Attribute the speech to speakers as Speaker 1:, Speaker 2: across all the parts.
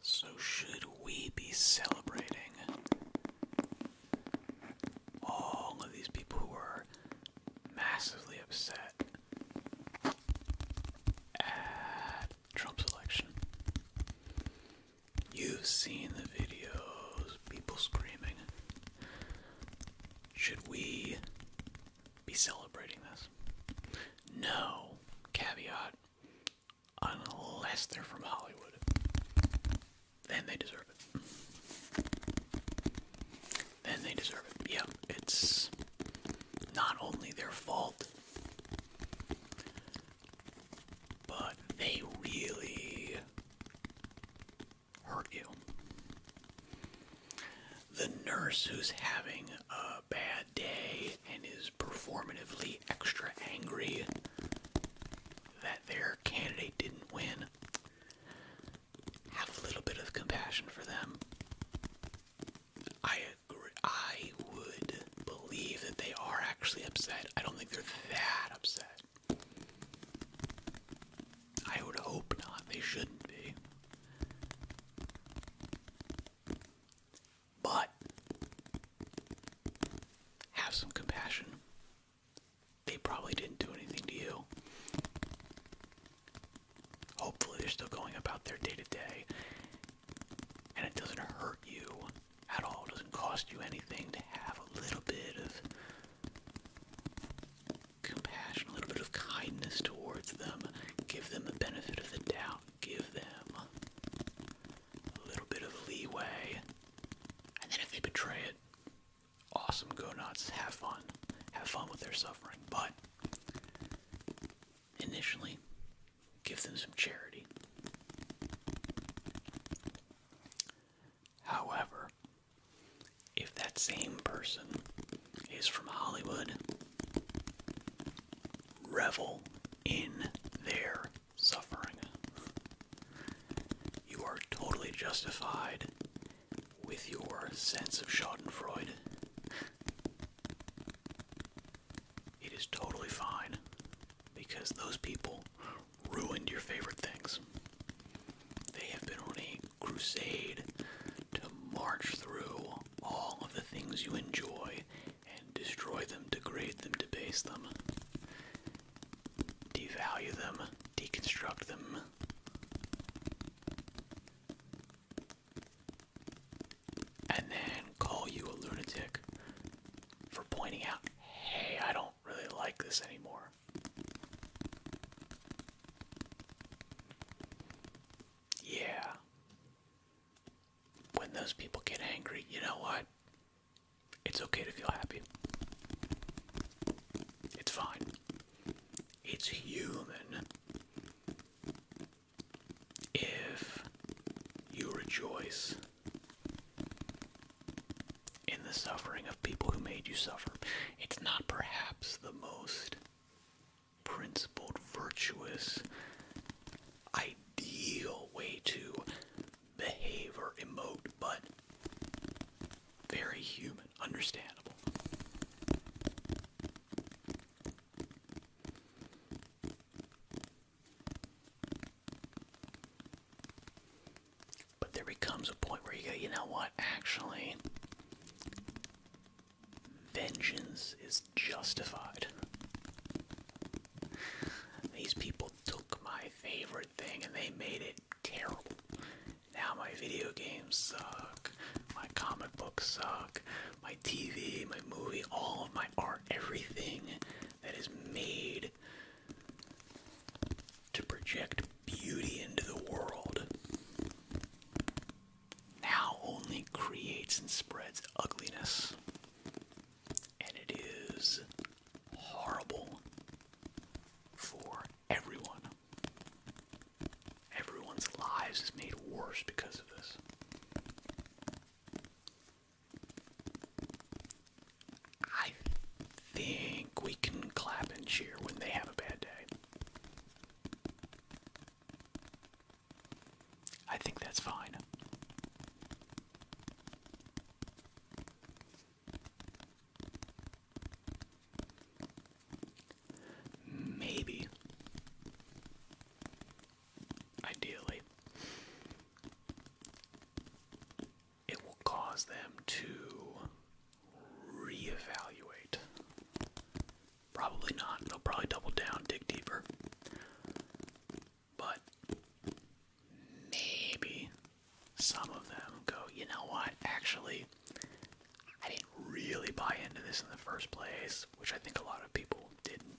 Speaker 1: So, should we be celebrating all of these people who massively upset at Trump's election? You've seen the videos, people screaming. Should we be celebrating this? No, caveat. Unless they're from Hollywood. Then they deserve it. Then they deserve it. Yeah, it's not only their fault, but they really hurt you. The nurse who's having a bad day and is performatively extra angry that their candidate didn't win, have a little bit of compassion for them. I I would believe that they are actually upset. I don't think they're that upset. I would hope not. They shouldn't be. But have some compassion. They probably didn't do anything to you. Hopefully, they're still going about their day to day. And it doesn't hurt you at all, it doesn't cost you anything to have a little bit of compassion, a little bit of kindness towards them. Give them the benefit of the doubt give them a little bit of leeway, and then if they betray it, awesome, go nuts, have fun, have fun with their suffering. But initially, give them some charity. However, if that same person is from Hollywood Revel in their suffering. You are totally justified with your sense of Schadenfreude. It is totally fine because those people ruined your favorite things. They have been on a crusade to march through all of the things you enjoy and destroy them, degrade them, debase them, devalue them, deconstruct them. And then call you a lunatic for pointing out, hey, I don't really like this anymore. Yeah. When those people get angry, you know what? It's okay to feel happy. It's fine. It's human. If you rejoice in the suffering of people who made you suffer, it's not perhaps the most principled, virtuous, ideal way to behave or emote, but very human, understandable. But there becomes a point where you go, you know what, actually, vengeance is justified. These people took my favorite thing and they made it terrible. Now my video games suck, my comic books suck, my TV, my movie, all of my art, everything that is made to project beauty into the world now only creates and spreads ugliness. And it is horrible for everyone. Everyone's lives is made worse because of this. I think we can clap and cheer when they have a bad day. I think that's fine. Maybe. Ideally, it will cause them to reevaluate. Probably not. They'll probably double down, dig deeper. But maybe some of them go, you know what, actually, I didn't really buy into this in the first place, which I think a lot of people didn't.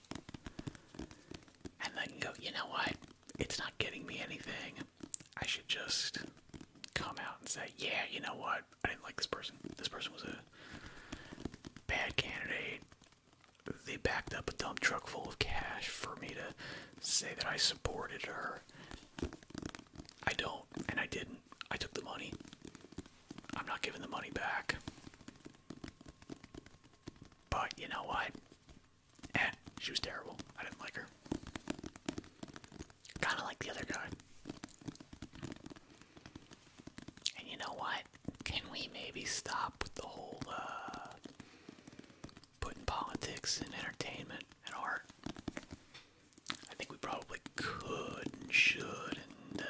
Speaker 1: And then go, you know what, it's not getting me anything. I should just come out and say, yeah, you know what? I didn't like this person. This person was a bad candidate. They backed up a dump truck full of cash for me to say that I supported her. I don't, and I didn't. I took the money. I'm not giving the money back. But you know what? Eh, she was terrible. I didn't like her. Kind of like the other guy. And you know what? Can we maybe stop with the whole uh, putting politics and entertainment and art? I think we probably could and should. And uh,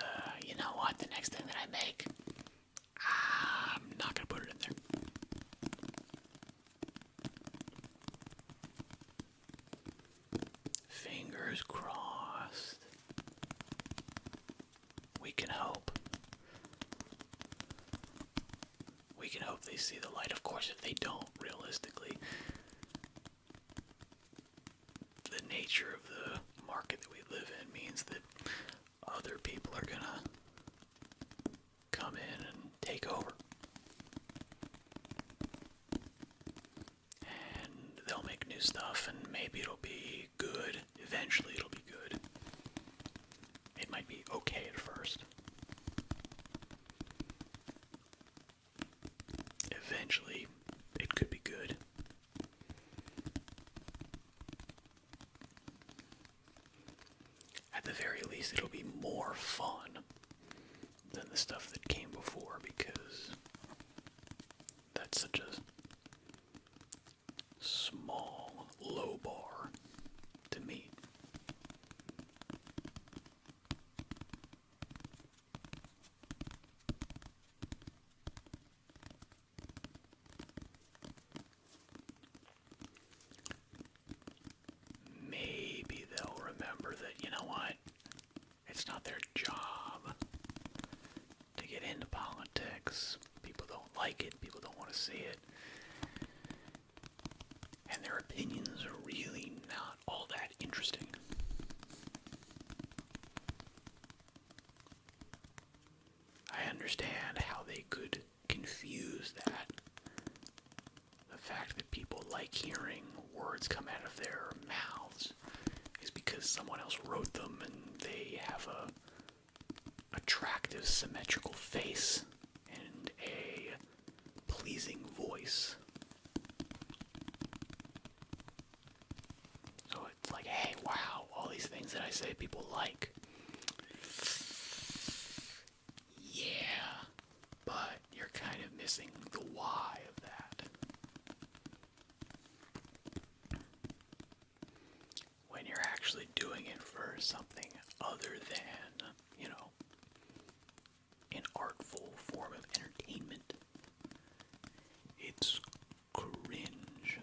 Speaker 1: you know what? The next thing that I make, I'm not gonna put it in there. Fingers crossed. We can hope. We can hope they see the light. Of course, if they don't, realistically, the nature of the market that we live in means that other people are gonna come in and take over. And they'll make new stuff, and maybe it'll be good. Eventually, it'll be good. It might be okay at first. Eventually, it could be good. At the very least, it'll be more fun than the stuff that came before because that's such a small, low bar to meet maybe they'll remember that, you know what? It's not their job to get into politics. People don't like it, people don't want to see it. And their opinions are really not all that interesting. I understand how they could confuse that. The fact that people like hearing words come out of their mouths is because someone else wrote them and they have a attractive symmetrical face and a pleasing voice. So it's like, hey, wow, all these things that I say people like. Yeah, but you're kind of missing the why of that. When you're actually doing it for something other than, you know, an artful form of entertainment, it's cringe.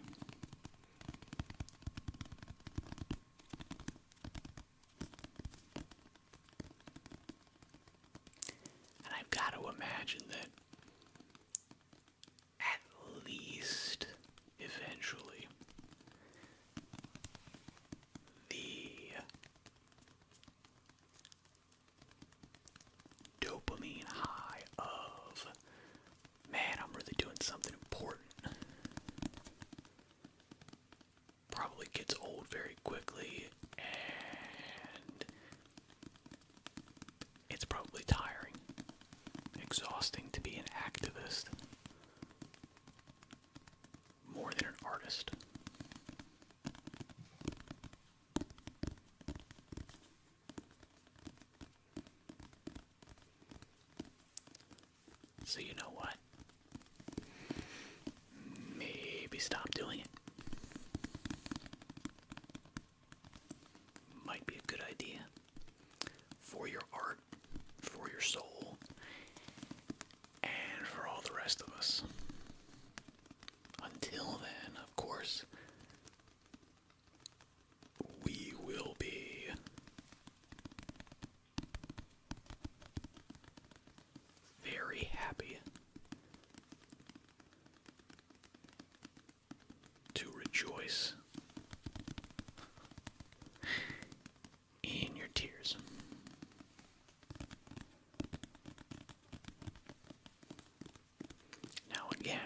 Speaker 1: And I've got to imagine that at least eventually the dopamine high of Man, I'm really doing something important. Probably gets old very quickly, and it's probably tiring, exhausting to be an activist more than an artist. So, you know what? Maybe stop doing it. Might be a good idea for your art, for your soul, and for all the rest of us. Until then, of course, we will be very happy to rejoice in your tears. Now, again,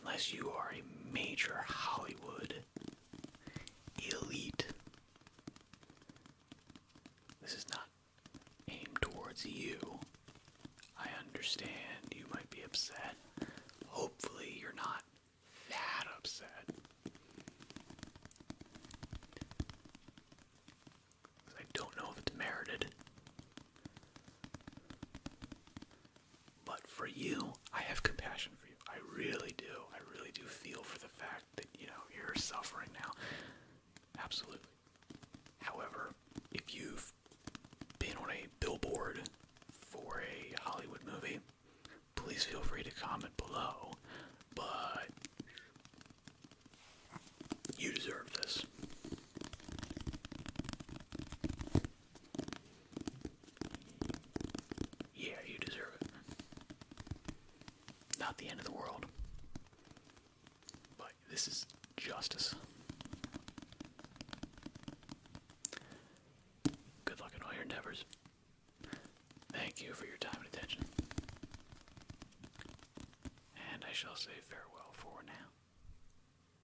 Speaker 1: unless you are a major Hollywood elite. This is not aimed towards you. I understand you might be upset. Hopefully, you're not that upset. I don't know if it's merited. But for you, I have compassion for you. I really do. I really do feel for the fact that, you know, you're suffering now. Absolutely. However, if you've been on a billboard for a Hollywood movie, please feel free to comment below. But you deserve this. Yeah, you deserve it. Not the end of the world. But this is justice. Good luck in all endeavors. Thank you for your time and attention. And I shall say farewell for now.